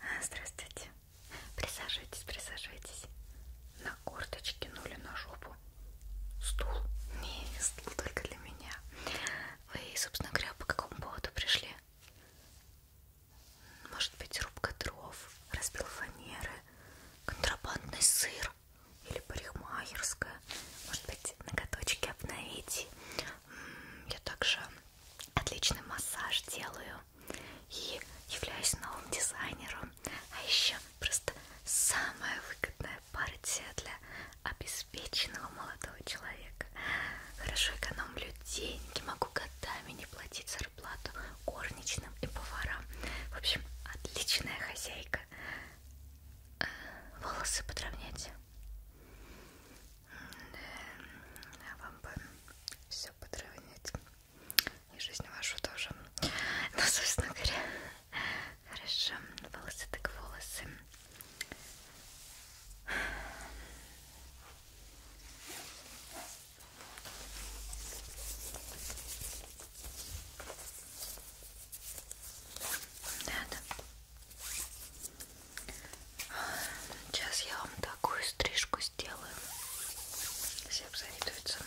А, здравствуйте. Присаживайтесь, присаживайтесь. На корточки, ну или на жопу. Стул? Не, стул только для меня. Вы, собственно говоря, по какому поводу пришли? Может быть, рубка дров, разбил фанеры, контрабандный сыр, маникюр или парикмахерская, может быть, ноготочки обновить. Я также отличный массаж делаю и являюсь новым дизайнером. А еще просто самая выгодная партия для обеспеченного молодого человека. Хорошо экономлю деньги, могу годами не платить зарплату горничным и поварам. В общем, отличная хозяйка. Э, волосы подровнять. А вам бы все подровнять. И жизнь вашу тоже. Ну, собственно говоря, хорошо. Волосы так волосы. Да, да. Сейчас я вам такую стрижку сделаю. Все обзавидуются.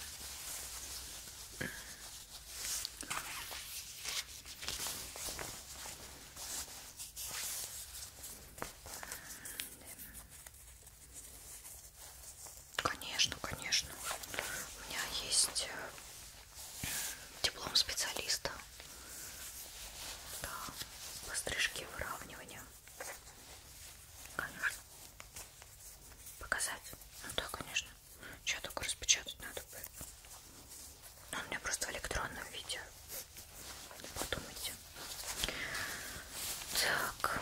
Конечно, конечно. У меня есть э, диплом специалиста да, по стрижке выравнивания. Конечно. Показать? Ну да, конечно. Че только распечатать надо будет. Но ну, у меня просто в электронном виде. Подумайте. Так.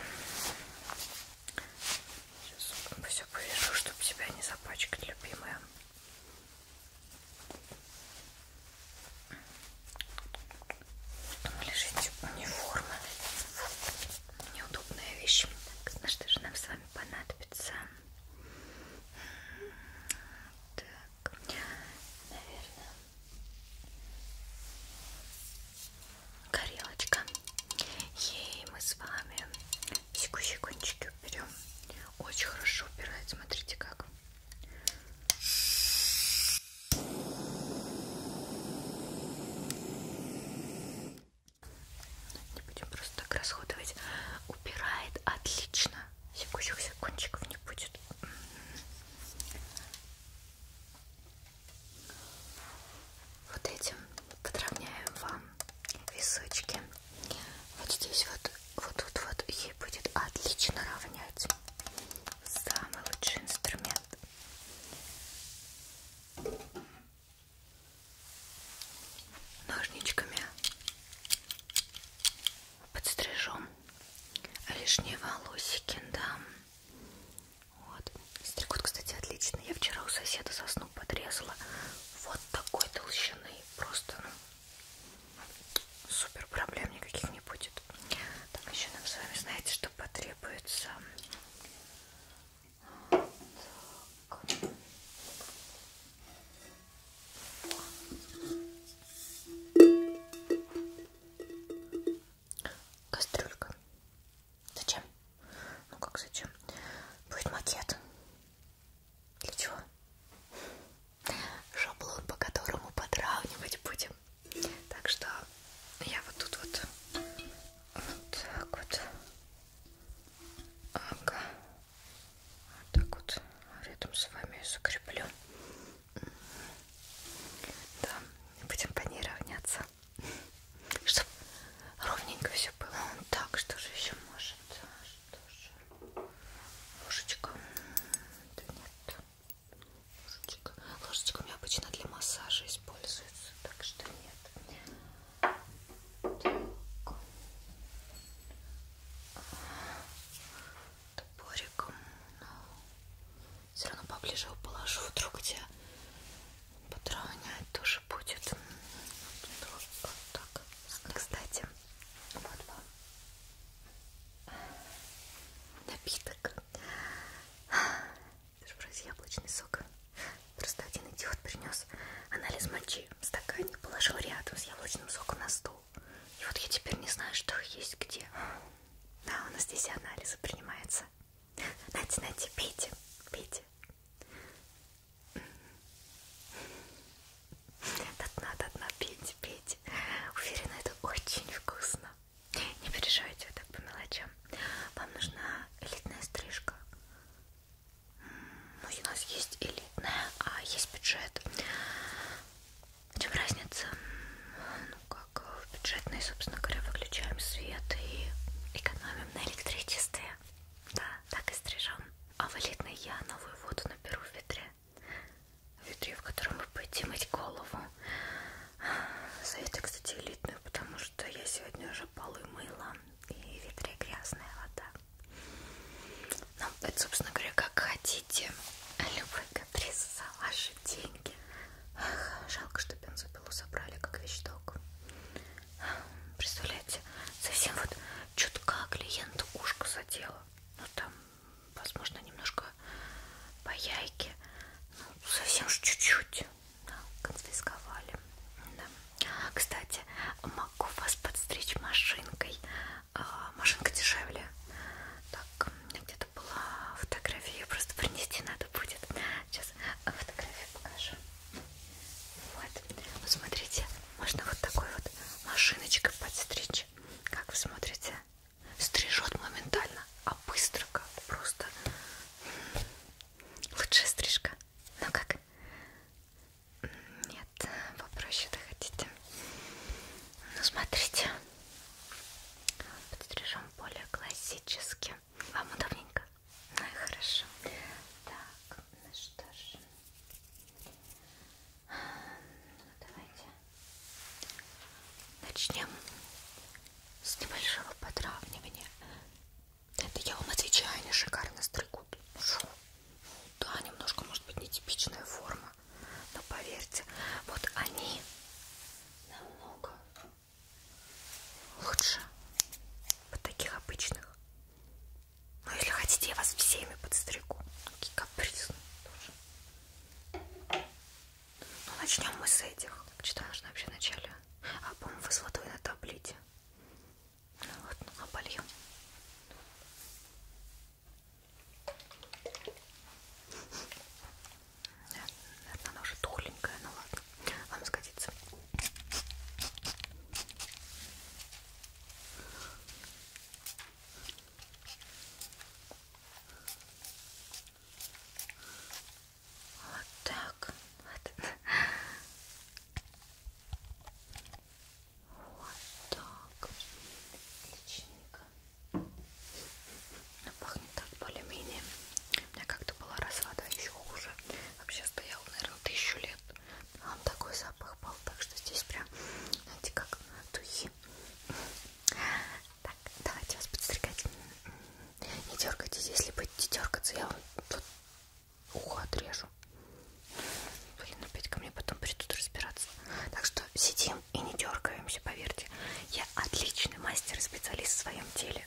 Сейчас все повяжу, чтобы тебя не запачкать, любимая. Потом лежите униформы. Неудобная вещь. Так, на что же нам с вами понадобится? Так, наверное, горелочка. Ей мы с вами щекунчики берем. Очень хорошо убирает, смотрите как. Не будем просто так расходовать. Убирает отлично. Секущих секундчиков не будет. М-м-м. Вот этим подровняем вам височки. Вот здесь вот, вот тут вот ей будет отлично равнять. Самый лучший инструмент. Ножничками подстрижем лишние волосики, да. Вот. Стригут, кстати, отлично. Я вчера у соседа сосну подрезала. Вот такой толщины. Просто, ну, супер проблем никаких не будет. Так, еще нам с вами, знаете, что потребуется? Так. Кастрюлька. Зачем? Ну как зачем? Будет макет. Для чего? Шаблон, по которому подравнивать будем. Так что я вот тут вот, вот так вот, ага. вот так вот рядом с вами закреплю. Да, будем по ней равняться чтобы ровненько все было. Он ну, так, что же еще может? А, что же? Ложечка. Да нет. Ложечка. Ложечка у меня обычно для массажа используется, так что нет. Так. Топориком. Но ну. все равно поближе его положу, вдруг где подровнять тоже будет. Вот так. Кстати, вот вам напиток. Это же вроде яблочный сок. Просто один идиот принес анализ мочи в стакане, положил рядом с яблочным соком на стол. И вот я теперь не знаю, что есть где. Да, у нас здесь анализы принимаются. Нате, нате, пейте, пейте. До дна, до дна, пейте, пейте. Уверена, это очень вкусно. Не переживайте вот так по мелочам. Вам нужна элитная стрижка. Ну, у нас есть элитная, а есть бюджет. В чем разница? Ну, как в бюджетной, собственно говоря, выключаем свет и экономим экономим на электричестве. Да, так и стрижем. А валидный я новую воду наберу в ведре. В ведре, в котором вы будете мыть голову. Советую, кстати, элитную, потому что я сегодня уже полы мыла. И в ведре грязная вода. Ну, это, собственно говоря, как хотите. Любой каприз за ваши деньги. Эх, жалко, что бензопилу собрали как вещдок. Представляете, совсем вот чутка клиенту ушко задела. Ну там, возможно, немножко по яйке. Ну, совсем ж чуть-чуть. Да, конфисковали. Да. Кстати, могу вас подстричь машинкой. А, машинка дешевле. Так, где-то была фотография, ее просто принести надо надо будет. Сейчас фотографию покажу. Вот. Вот смотрите, можно вот такой вот машиночкой подстричь. Как вы смотрите? Стрижет моментально, а быстро как просто. Лучшая стрижка. Ну как? Нет, попроще-то хотите. Ну смотрите. Подстрижем более классически. Вам удобненько? Ну и хорошо. Так, ну что ж. Ну, давайте начнем с небольшого подравнивания. Это я вам отвечаю, они шикарно стригут. Да, немножко может быть нетипичная форма, но поверьте, вот они намного лучше вот таких обычных. Ну, если хотите, я вас всеми подстригу. Такие капризные тоже. Ну, начнем мы с этих. Что нужно вообще вначале? А, по-моему, вы с водой на таблете. Ну вот, ну, обольем. Наверное, она уже тухленькая, ну ладно, вам сгодится. Вот так. Вот, вот так. Отличненько но пахнет так более-менее. У меня как-то была раз вода еще хуже. Вообще стоял, наверное, тысячу лет. А он такой запах был, так что здесь прям, знаете, как духи. Так, давайте вас подстригать. Не дергайтесь, если будете дергаться, я вам тут ухо отрежу. Блин, опять ко мне потом придут разбираться. Так что сидим и не дергаемся, поверьте. Я отличный мастер и специалист в своем деле.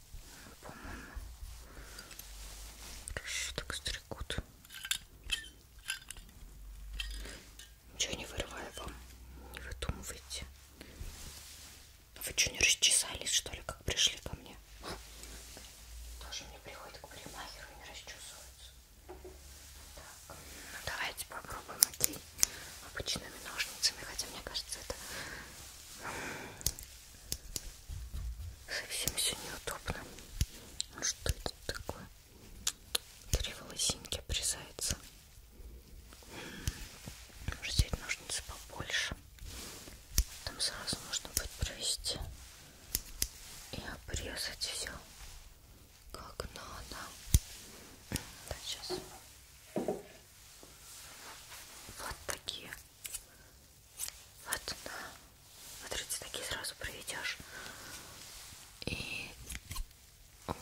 по-моему. Хорошо так стригут. Ничего не вырываю вам, не выдумывайте. А вы что, не расчесались, что ли, как пришли ко мне? Тоже мне приходит к парикмахеру и не расчесываются. Так, ну давайте попробуем, окей, обычными ножницами, хотя мне кажется, это Совсем все неудобно. Ну что это такое? Три волосинки обрезается. Может взять ножницы побольше. Там сразу можно будет провести и обрезать все как надо. Да, сейчас. Вот такие вот, да. Смотрите, такие сразу проведешь. И вот.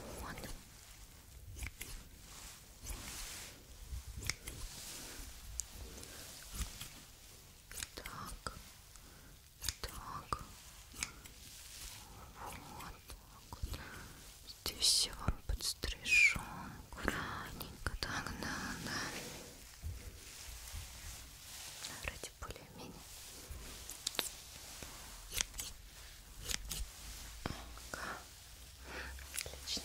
Так. Так. Вот так вот. Здесь все вам подстрижем. Аккуратненько. Так, да, да. Вроде более-менее. Отлично.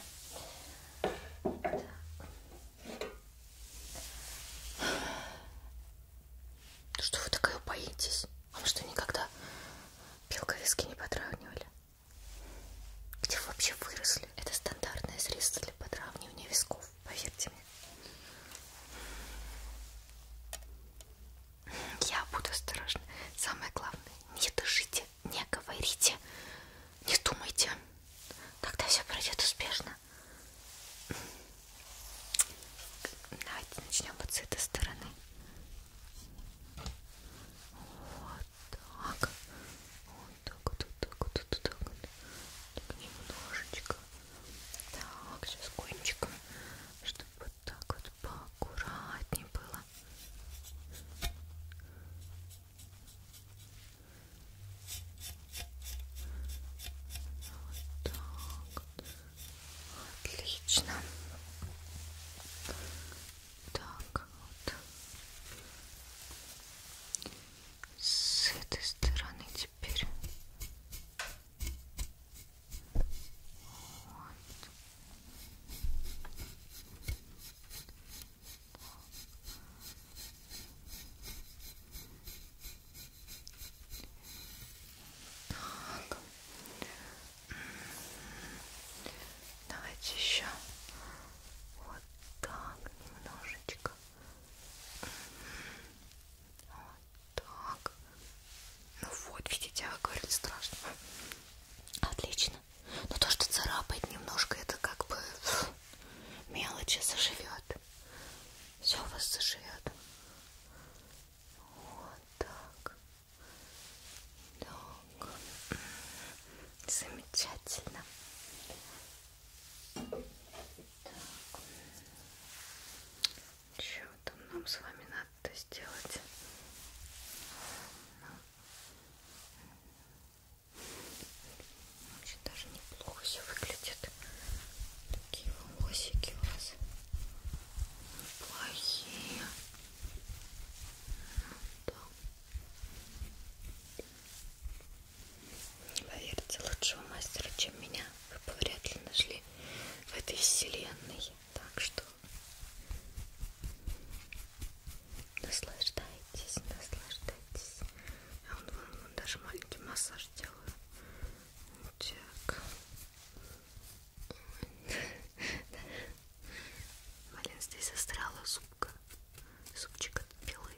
Так. Что вы такая боитесь? А Вам что, никогда белковиски не потравнивали? Где вы вообще выросли? Это стандартное средство для подравнивания висков, поверьте мне. Я буду осторожна. Самое главное, не дышите, не говорите, не думайте. Тогда все пройдет успешно. Давайте начнем вот с этой стороны. Вот так, вот так вот, так вот, так вот, так вот, так немножечко, так, сейчас кончиком, чтобы вот так вот поаккуратнее было. Вот так вот. Отлично. Так. Вот. С этой стороны теперь. Вот. Так. Давайте еще вот вот так немножечко вот так ну вот, видите, я а говорю, страшно отлично но ну то, что царапает немножко, это как бы мелочи заживет все у вас заживет вот так так Замечательно. Так. Что там нам с вами надо сделать? Вообще даже неплохо все выглядит. Такие волосики у вас неплохие. Вот ну, так. Поверьте, лучшего мастера, чем меня, вы бы вряд ли нашли в этой вселенной. Так что наслаждайтесь, наслаждайтесь. Я а вон, вон, ну, вон даже маленький массаж делаю. Так. Блин, здесь застряла зубка. Зубчик от пилы.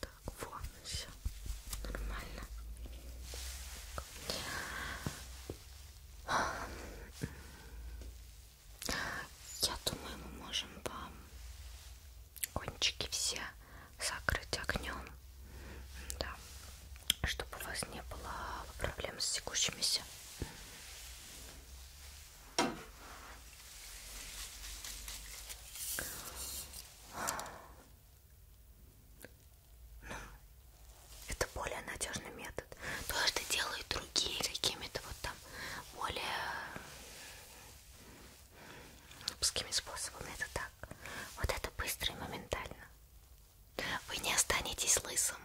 Так, вот, все. Нормально. Я думаю, мы можем вам кончики все закрыть огнем. Да. Чтобы у вас не было проблем с текущимися ну, это более надежный метод. То, что делают другие какими-то вот там более узкими способами, это так. Вот это быстро и моментально. Вы не останетесь лысым.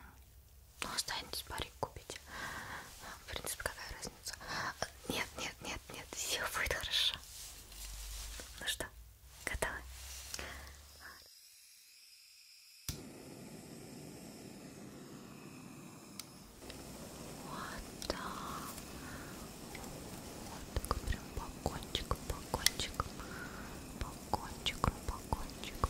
Ну, останетесь парик купить. В принципе, какая разница? Нет, нет, нет, нет, все будет хорошо. Ну что, готовы? Вот так. Вот так прям по кончикам, по кончикам, по кончикам, по кончикам, по кончикам.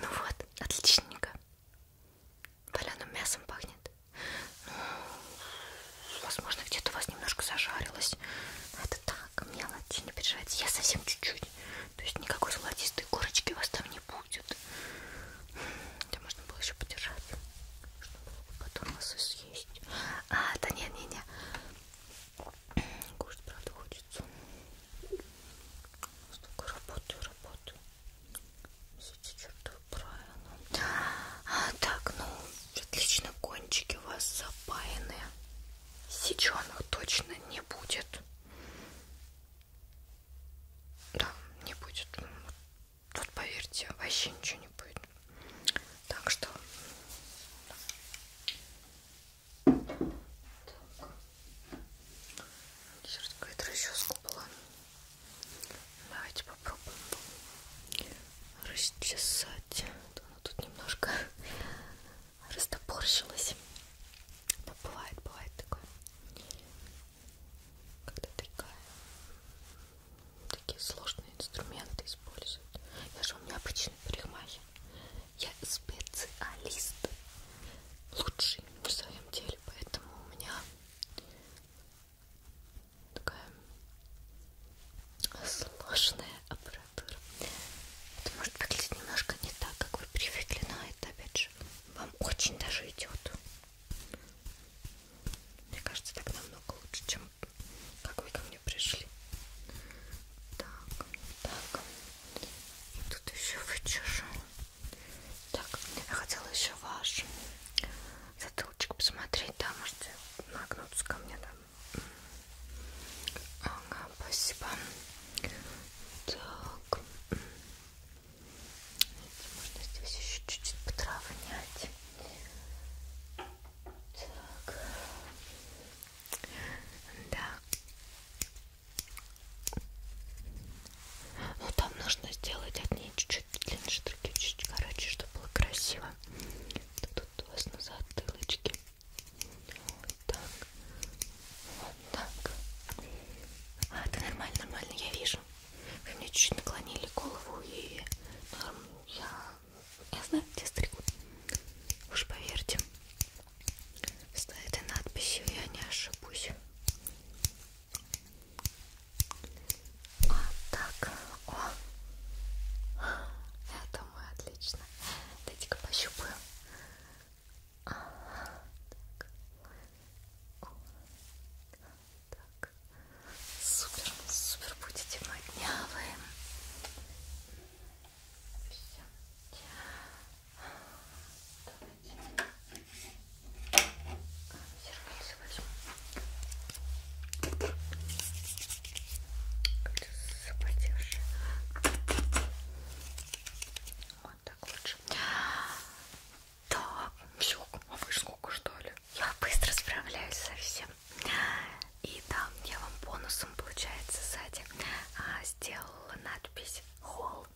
Ну вот, отличненько. Валяным мясом пахнет. Ну, возможно, где-то у вас немножко зажарилось. Но это так, мелочь, не переживайте. Я совсем чуть-чуть. То есть никакой золотистой корочки у вас там не будет. Это можно было еще подержать, чтобы потом вас съесть. А, да не, не, не. Кушать, правда, хочется. Столько работаю, работаю. Все эти чертовы правила. А, так, ну, отлично, кончики у вас запаяны. Сеченых точно не будет. Да, не будет. Вот поверьте, вообще ничего не будет. Так что... Так. Сейчас какая-то расческа была. Давайте попробуем расчесать. Она тут немножко растопорщилась. Но бывает, бывает такое. Когда такая такие сложные инструменты используют. Я же у меня обычный парикмахер. Я специалист. Лучший в своем деле. Поэтому у меня такая сложная аппаратура. Это может выглядеть немножко не так, как вы привыкли, но это опять же вам очень даже идет. Мне кажется, так намного лучше, чем вот как вы ко мне пришли. Так, так. И тут еще вычешу. Так, я хотела еще ваш затылочек посмотреть. Да, можете нагнуться ко мне, да. Ага, спасибо. Так. Можно здесь еще чуть-чуть потравнять. Так. Да. Ну там нужно сделать одни чуть-чуть длиннее, другие чуть-чуть короче, чтобы было красиво. Тут у вас на затылочке. Вот так. Вот так. А, это нормально, нормально, я вижу. Вы мне чуть-чуть наклонили голову и норм, я, я знаю, где стригут. Уж поверьте, с этой надписью я не ошибусь. А так, о, это мы отлично. Дайте-ка пощупаю. А, так. О, так. Супер, супер будете моднявые. Все. Давайте возьму. Запотевшие. Вот так лучше. Так, все, а вы сколько что ли? Я быстро справляюсь со всем. И да, я вам бонусом, получается, сзади а, сделала надпись холл.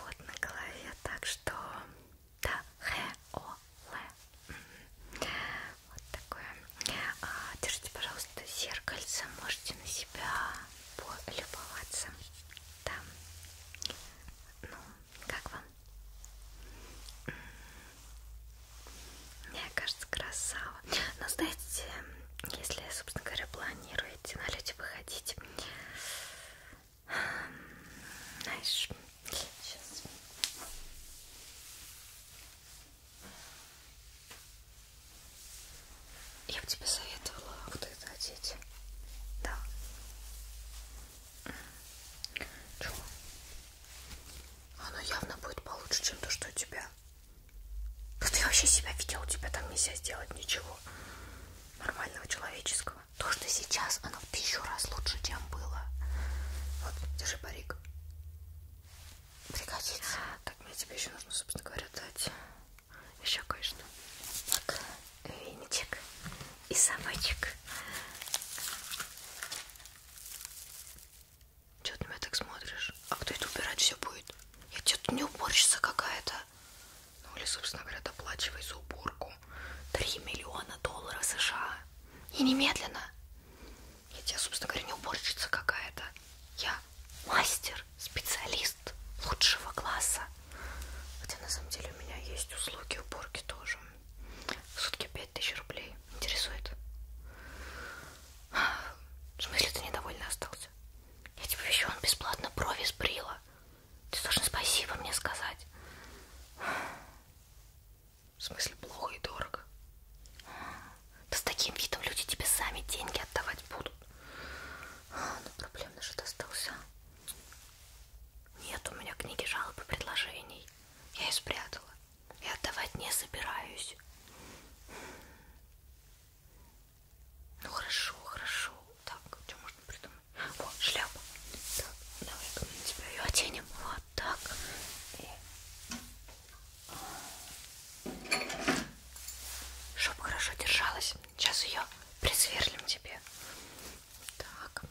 Вот на голове, так что да, Х-О-Л. Вот такое. А, держите, пожалуйста, зеркальце, можете на себя полюбоваться. Да. Ну, как вам? Мне кажется, красава. Но знаете, если, собственно говоря, планируете на люди выходить, знаешь, сейчас. Я бы тебе советовала а вот это одеть. Да. Чё? Оно явно будет получше, чем то, что у тебя. Да ты вообще себя видел, у тебя там нельзя сделать ничего нормального, человеческого. То, что сейчас, оно в тысячу раз лучше, чем было. Вот, держи парик. Пригодится. Так, мне тебе еще нужно, собственно говоря, дать еще кое-что. Так веничек и совочек. Че ты меня так смотришь? А кто это убирать все будет? Я тебе тут не уборщица какая-то. Ну или, собственно говоря, доплачивай за уборку. 3 миллиона долларов США. И немедленно. Я тебе, собственно говоря, не уборщица какая-то. Я мастер, специалист лучшего класса. Хотя на самом деле у меня есть услуги уборки тоже. В сутки 5000 рублей. Интересует? В смысле ты недовольный остался? Я тебе еще он бесплатно брови сбрила. Ты должен спасибо мне сказать. В смысле плохо и дорого? Да с таким видом люди тебе сами деньги отдавать будут. А, ну проблемно же достался. Нет у меня книги жалоб и предложений. Я ее спрятала. И отдавать не собираюсь. Ну хорошо, хорошо. Так, что можно придумать? О, шляпа. Так, давай-ка мы на тебя ее оденем. Вот так. Чтоб хорошо держалась. Сейчас ее присверлим тебе. Так.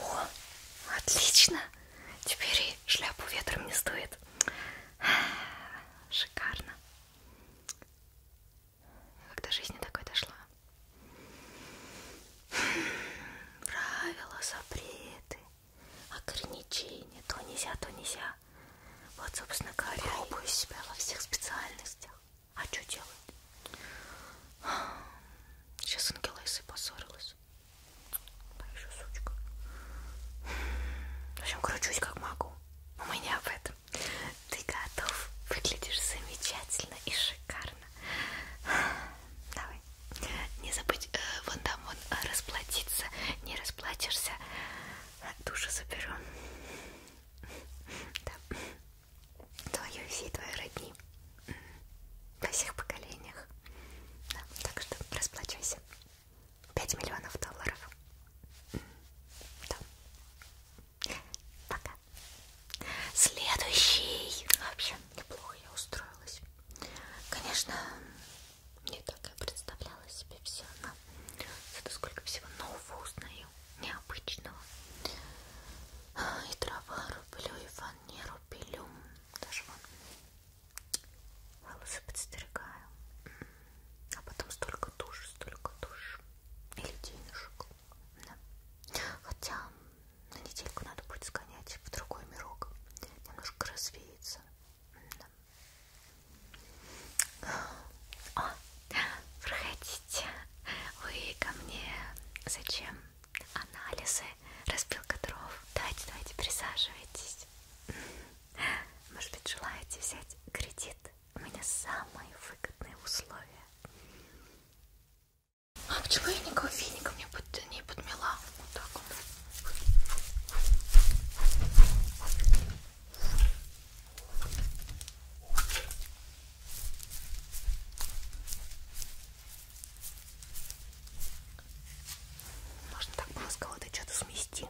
О, отлично! Теперь и шляпу ветром не стоит. Шикарно. Как до жизни такой дошла. Правила, запреты, ограничения. То нельзя, то нельзя. Вот, собственно говоря, пробую себя во всех специальностях. А что делать? Сейчас Ангелеса поссорилась. Она еще сучка. В общем, кручусь как могу. Но мы не об этом. Ты готов? Выглядишь замечательно и шикарно. Давай. Не забудь э, вон там вон э, расплатиться. Не расплатишься. Душу заберу. Да. Твое и все твои родни во всех поколениях. Да, так что расплачивайся. 5 миллионов долларов. Да. Пока. Следующий. Вообще, неплохо я устроилась. Конечно, не так я представляла себе все, но зато сколько всего нового узнаю, необычного. И дрова рублю, и фанеру пилю, даже вон волосы подстерегаю, а потом столько душ, столько душ или денежек, да. хотя на недельку надо будет сгонять в другой мирок, немножко развеется. Да. О, а, проходите, вы ко мне зачем? анализы, распилка дров. Давайте, давайте, присаживайтесь. Может быть, желаете взять кредит? У меня самые выгодные условия. А почему я не кофейник мне под, не подмела? Вот так вот. Можно так было с кого-то что-то смести.